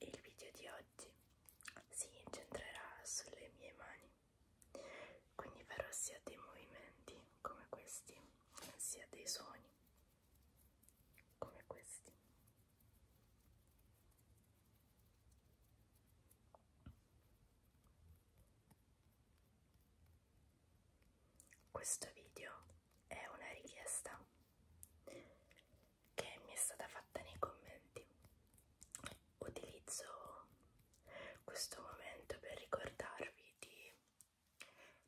Il video di oggi si incentrerà sulle mie mani, quindi farò sia dei movimenti come questi, sia dei suoni come questi. Questo video è una richiesta che mi è stata fatta nei commenti. Utilizzo questo momento per ricordarvi di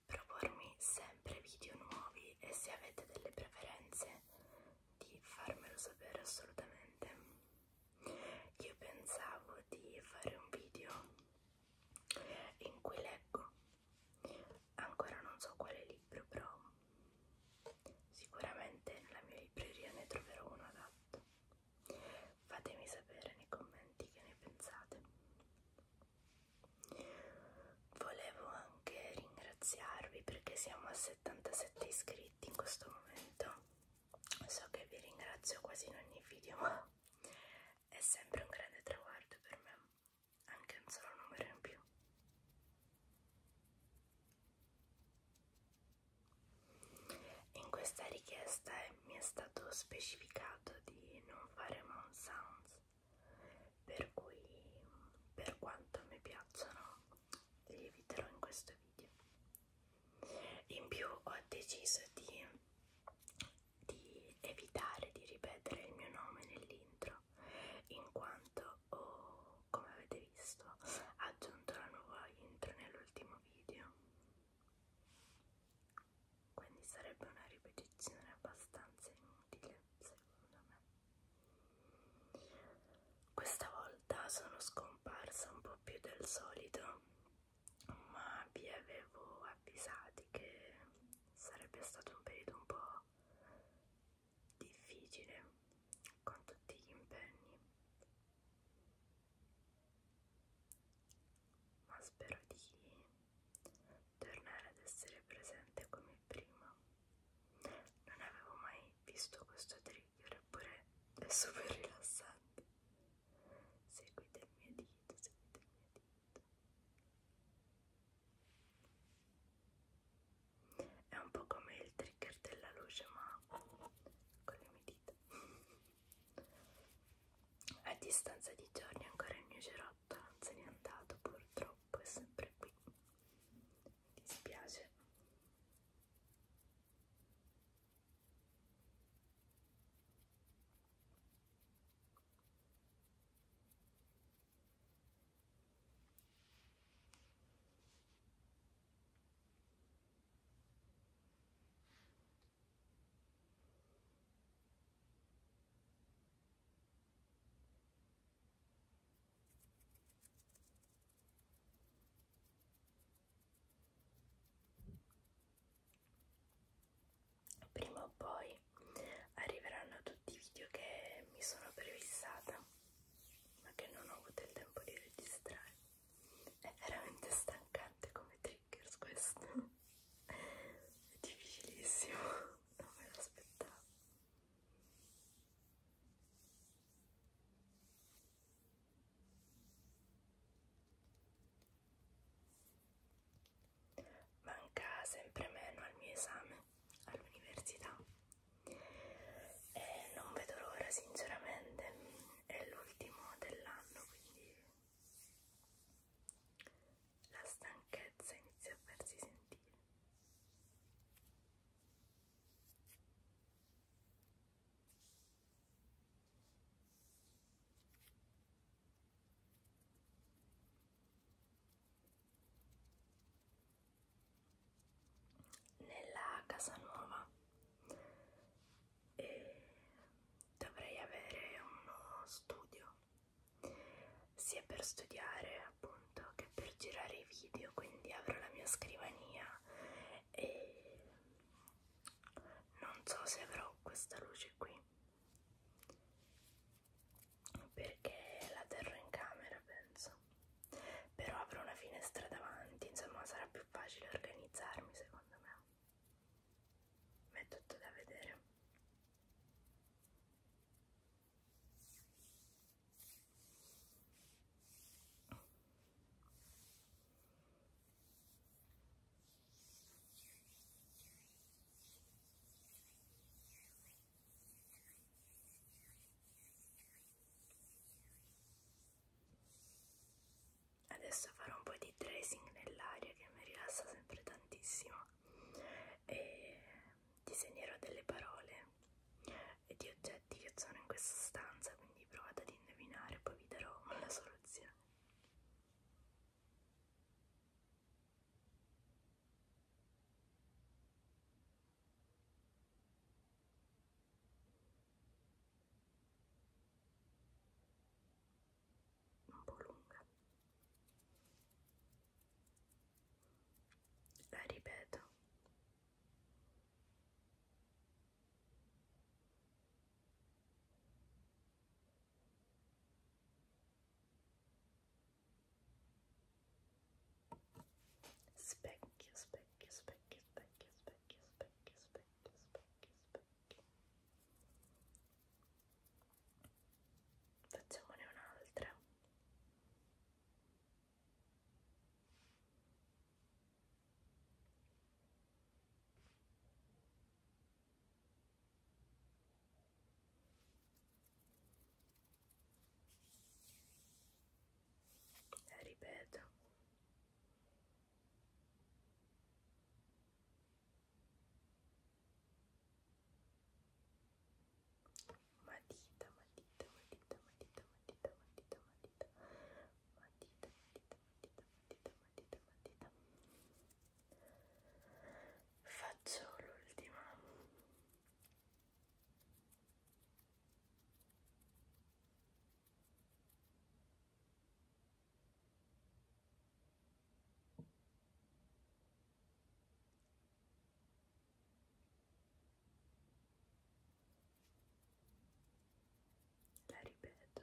propormi sempre video nuovi e se avete delle preferenze di farmelo sapere assolutamente. Io pensavo di fare un video in cui leggo ancora non so quale libro, però sicuramente nella mia libreria ne troverò uno adatto. Fatemi sapere nei commenti che ne pensate. Volevo anche ringraziarvi perché siamo a 77 iscritti in questo momento. So che vi ringrazio quasi in ogni video, ma è sempre un grande traguardo per me anche un solo numero in più in questa richiesta mi è stato specificato di non fare mount sounds per cui per quanto mi piacciono li eviterò in questo video in più ho deciso di, di evitare di ripetere il mio nome nell'intro video in quanto ho, oh, come avete visto, aggiunto la nuova intro nell'ultimo video quindi sarebbe una ripetizione abbastanza inutile secondo me questa volta sono scomparsa un po' più del solito ma vi avevo avvisati che sarebbe stato un periodo un po' difficile con tutti gli impegni ma spero di tornare ad essere presente come prima non avevo mai visto questo trigger eppure è super rilassante seguite il mio dito seguite il mio dito è un po' come il trigger della luce, ma con le mie dita. A distanza di giorni ancora il mio cerotto non se n'è andato, purtroppo è sempre qui. Mi dispiace. Prima o poi domani arriveranno tutti i video che mi sono prefissata ma che non ho avuto il tempo di registrare è veramente stancante come triggers questo è difficilissimo non me lo aspettavo manca sempre meno al mio esame all'università e non vedo l'ora sinceramente, è l'ultimo dell'anno quindi la stanchezza inizia a farsi sentire nella casa nuova e dovrei avere uno studio sia per studiare appunto che per girare i video quindi avrò la mia scrivania e non so se avrò questa luce qui perché la terrò in camera penso però avrò una finestra davanti insomma sarà più facile organizzarmi secondo me ma è tutto da vedere Adesso farò un po' di tracing nell'aria che mi rilassa sempre tantissimo e disegnerò delle parole e di oggetti che sono in questa stanza, quindi provate ad indovinare, poi vi darò la soluzione un po' lunga la ripeto specchio, specchio, specchio, specchio, specchio, specchio, specchio, specchio, specchio. Facciamone un'altra. Specchio, eh, ripeto matita matita matita matita matita matita matita matita matita matita matita matita matita matita Faccio l'ultima. La ripeto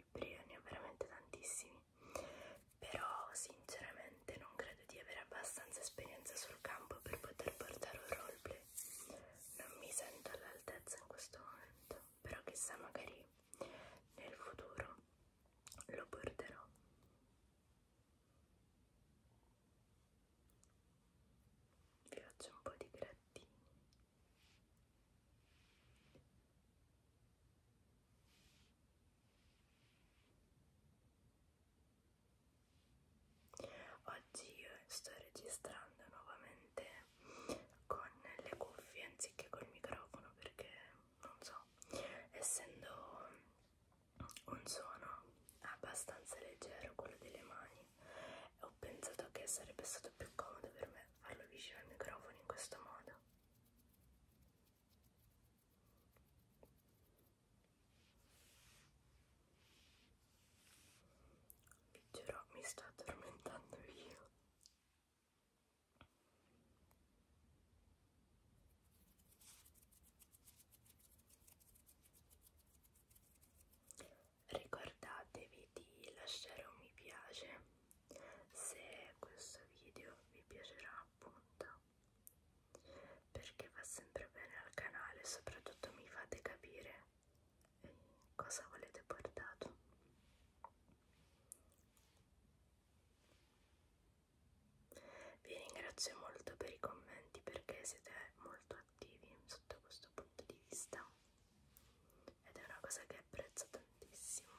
libri, ne ho veramente tantissimi, però sinceramente non credo di avere abbastanza esperienza sul campo per poter portare un roleplay. Non mi sento all'altezza in questo momento, però chissà magari nel futuro lo porterò. Vi faccio un po' di grattini. Oggi io sto registrando nuovamente con le cuffie anziché col microfono perché non so, essendo un suono abbastanza leggero quello delle mani, ho pensato che sarebbe stato più comodo per me farlo vicino al microfono in questo modo vi giuro mi sto addormentando io Ricordatevi di lasciare un mi piace se questo video vi piacerà appunto perché va sempre bene al canale soprattutto mi fate capire eh, cosa volete portato vi ringrazio molto per i commenti perché siete molto attivi sotto questo punto di vista ed è una cosa che apprezzo tantissimo.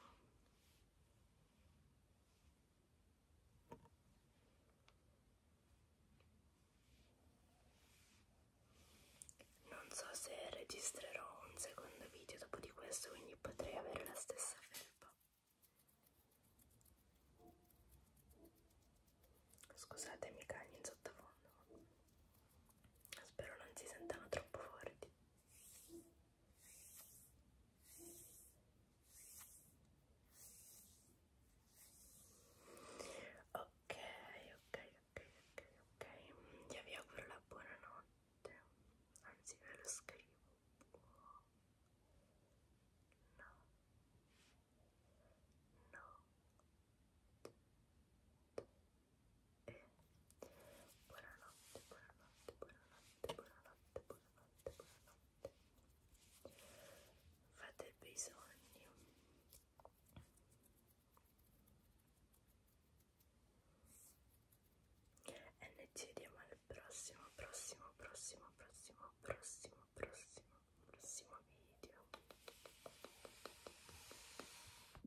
Non so se registrerò un secondo video dopo di questo, quindi potrei avere la stessa felpa. Scusatemi i cagni in sottofondo, spero non si sentano troppo forti. Ok, ok, ok, ok, ok, ti vi auguro la anzi ve lo scrivo, no, e buonanotte, buonanotte, buonanotte, buonanotte, buonanotte, buonanotte. Fate bei sogni. E noi ci vediamo al prossimo, prossimo, prossimo, prossimo, prossimo, prossimo, prossimo video.